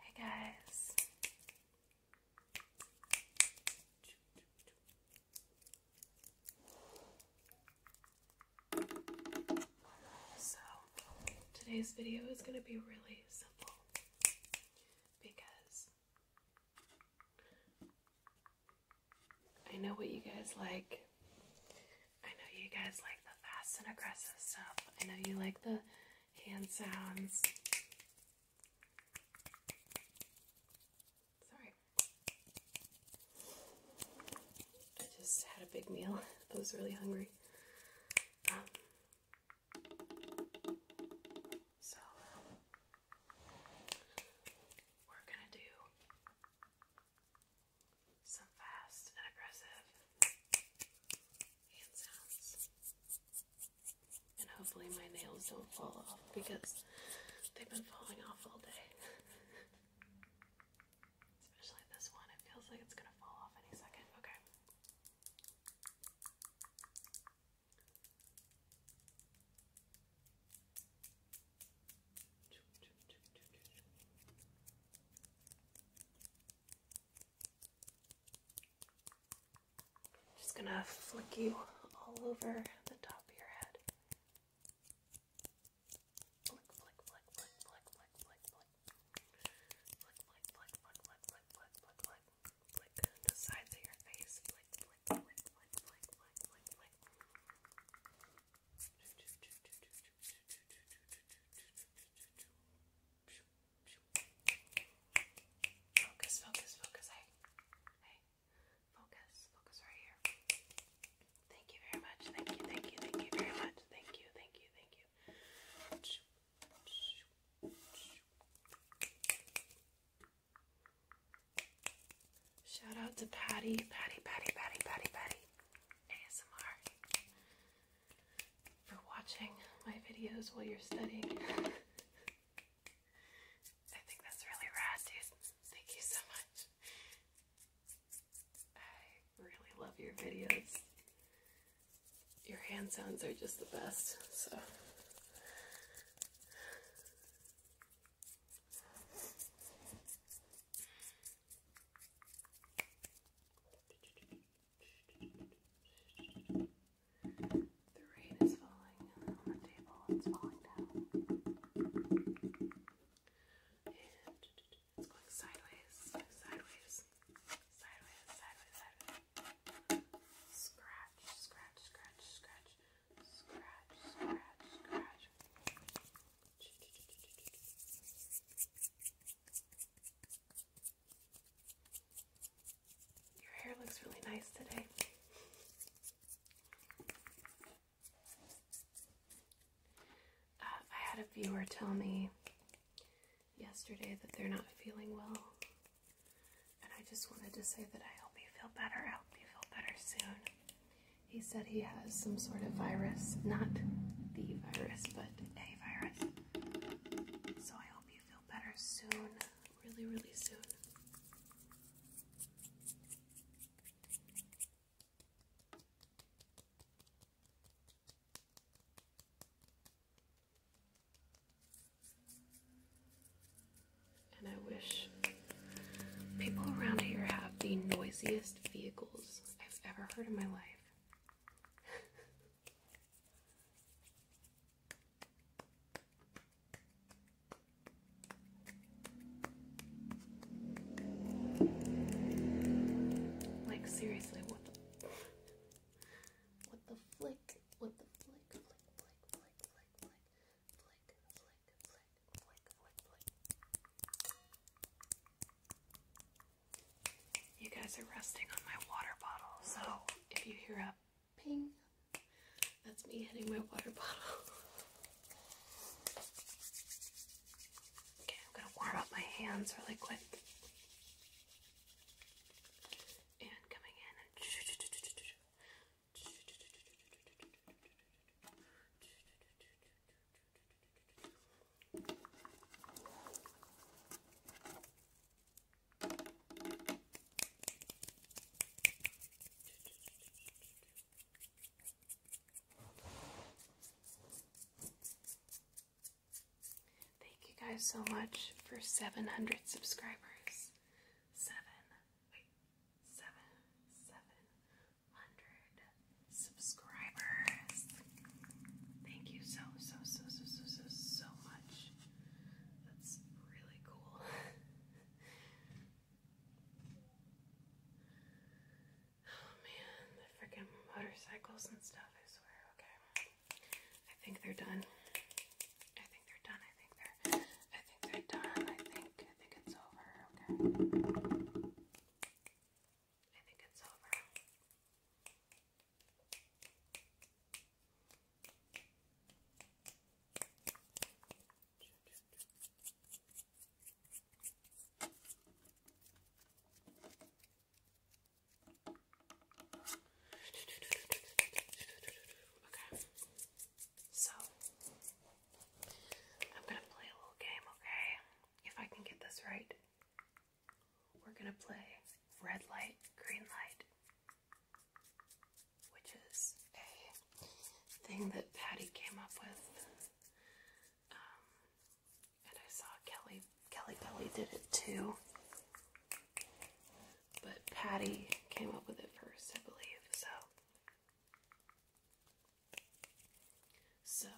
Hey guys. So, today's video is going to be really simple because I know what you guys like. I know you guys like the fast and aggressive stuff. I know you like the hand sounds. Sorry. I just had a big meal. I was really hungry. Um, so, we're gonna do some fast and aggressive hand sounds. And hopefully, my nails don't fall off because they've been falling off all day. Especially this one, it feels like it's gonna fall off any second. Okay. Just gonna flick you all over the top of your head. Flick, flick, flick, flick, flick, flick, flick, flick. Flick, flick, flick, flick, flick, flick, flick, flick, the sides of your face. Flick, flick, flick, flick, flick, flick, flick, flick. Focus, focus, focus. Hey, hey, focus, focus right here. Thank you very much. Thank you, thank you, thank you very much. Thank you, thank you, thank you. Shout out to Patty, Patty, Patty, Patty, Patty, Patty, ASMR for watching my videos while you're studying. I think that's really rad, dude. Thank you so much. I really love your videos. Your hand sounds are just the best, so the rain is falling on the table, it's falling down. it's going sideways, sideways, sideways, sideways, sideways. Scratch, scratch, scratch, scratch. Scratch, scratch, scratch. Your hair looks really nice today. Uh, I had a viewer tell me yesterday that they're not feeling well, and I just wanted to say that I hope you feel better. I hope you feel better soon. He said he has some sort of virus, not the virus, but a virus. So I hope you feel better soon, really, really soon. And I wish people around here have the noisiest vehicles I've ever heard in my life. like seriously, what the flick, what the flick. You guys are resting on my water bottle, so if you hear a ping, that's me hitting my water bottle. Okay, I'm gonna warm up my hands really quick. And coming in Thank you guys so much for 700 subscribers. Seven seven, seven hundred subscribers. Thank you so, so, so, so, so, so, so much. That's really cool. Oh man, the freaking motorcycles and stuff, I swear, okay. I think they're done. I think they're done. I think they're I think they're done. I think I think it's over. Okay. I think it's over. Okay. So, I'm gonna play a little game, okay? If I can get this right, we're gonna play red light, green light, which is a thing that Patty came up with. Um, and I saw Kelly Kelly Belly did it too. But Patty came up with it first, I believe, so. So,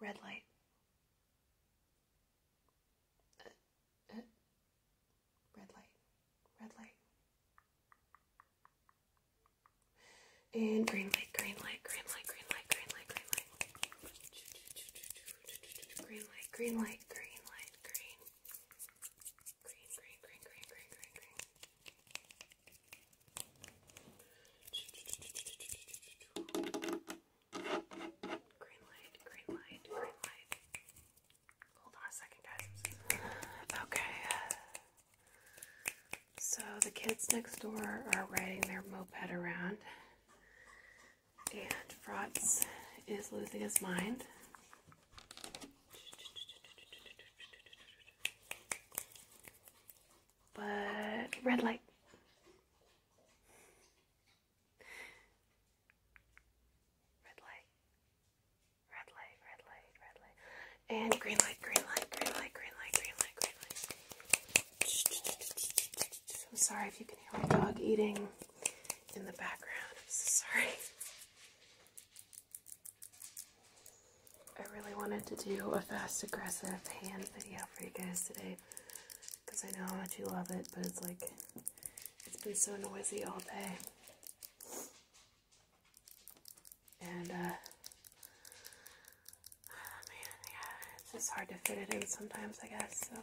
red light. Uh, uh, red light, red light. And green light, green light, green light, green light, green light, green light. Green light, green light, green light, green. Green, green, green, green, green, green, green. light, green light, green light. Hold on a second, guys. Okay. Uh, so the kids next door are riding their moped around. And Frotz is losing his mind. But red light. Red light. Red light, red light, red light. And green light, green light, green light, green light, green light, green light. I'm sorry if you can hear my dog eating in the background. sorry. I really wanted to do a fast, aggressive hand video for you guys today because I know how much you love it, but it's like it's been so noisy all day. And, uh, man, yeah, it's just hard to fit it in sometimes, I guess, so.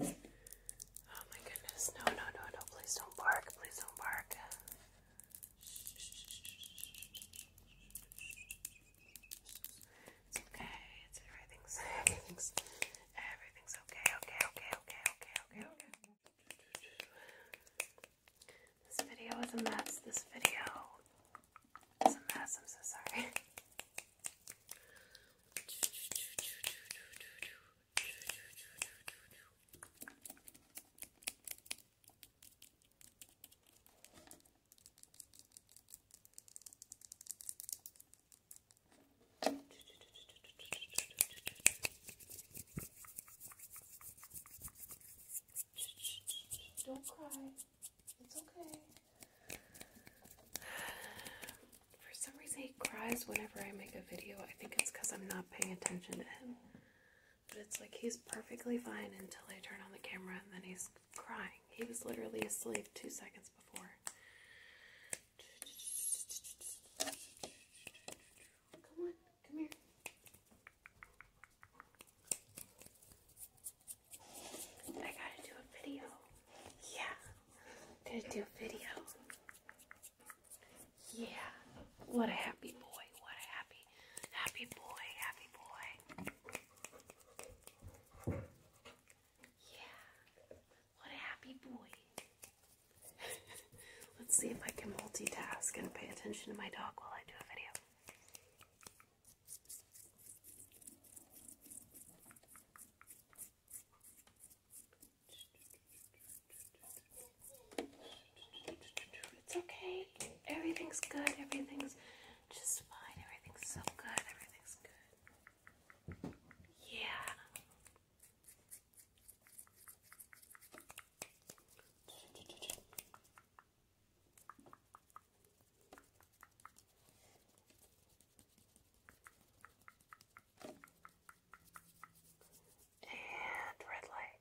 Oh my goodness, no, no, no, no, please don't bark, please don't bark. It's okay, everything's everything's everything's okay, okay, okay, okay, okay, okay, okay. This video is a mess. This video is a mess. I'm so sorry. Don't cry. It's okay. For some reason, he cries whenever I make a video. I think it's because I'm not paying attention to him. But it's like he's perfectly fine until I turn on the camera and then he's crying. He was literally asleep two seconds before. Come on. Come here. I gotta do a video. Yeah. Gotta do a video. Yeah. What a happy boy. What a happy, happy boy. Happy boy. Yeah. What a happy boy. Let's see if I can multitask and pay attention to my dog while I do a video. It's okay. Everything's good. Everything's just fine. Everything's so good. Everything's good. Yeah. And red light.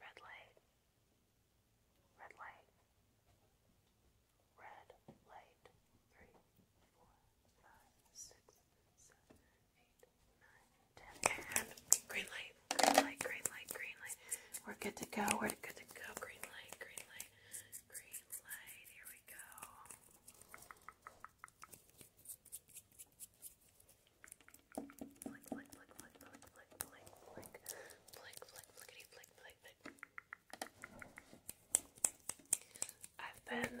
Red light. Red light. Red light. Three, four, five, six, seven, eight, green light, green light, green light, green light. We're good to go. We're good to go. Green light, green light, green light. Here we go. flick, flick, flick, flick, flick, flick, flick, flick, flick, flickety, flick, flick, flick. I've been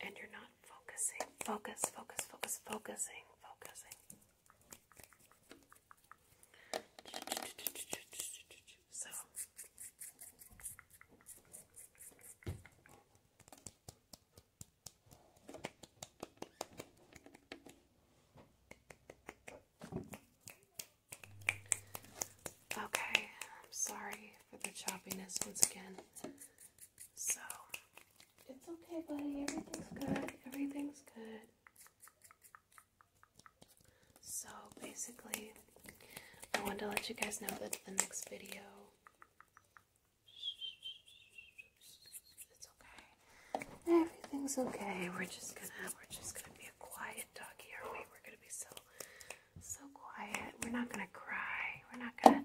and you're not focusing. Focus, focus, focus, focusing, focusing. So Okay, I'm sorry for the choppiness once again. So, it's okay, buddy. Everything's good. Everything's good. So, basically, I wanted to let you guys know that the next video. It's okay. Everything's okay. We're just gonna, we're just gonna be a quiet doggy, are we? We're gonna be so, so quiet. We're not gonna cry. We're not gonna,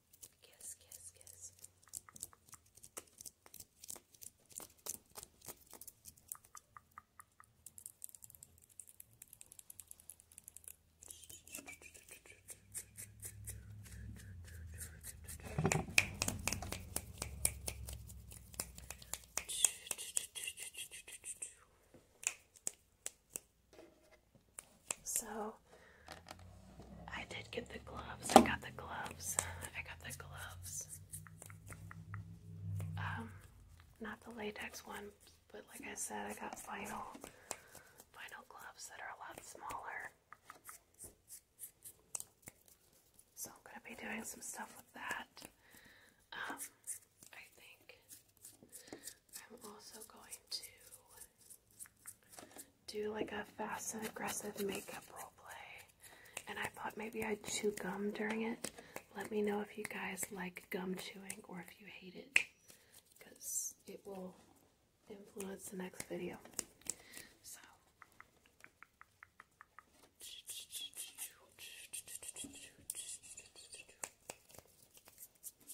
Kiss, kiss, kiss. So I did get the gloves. I got the gloves. I got the gloves. Um, not the latex one, but like I said, I got vinyl, vinyl gloves that are a lot smaller. So I'm gonna be doing some stuff with that. Um, I think I'm also going to do like a fast and aggressive makeup role play. And I thought maybe I'd chew gum during it. Let me know if you guys like gum chewing or if you hate it because it will influence the next video. So.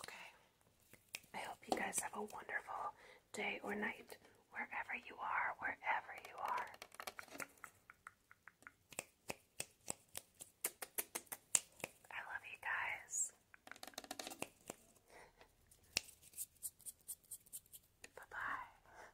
Okay. I hope you guys have a wonderful day or night wherever you are, wherever you are. I love you guys. Bye bye.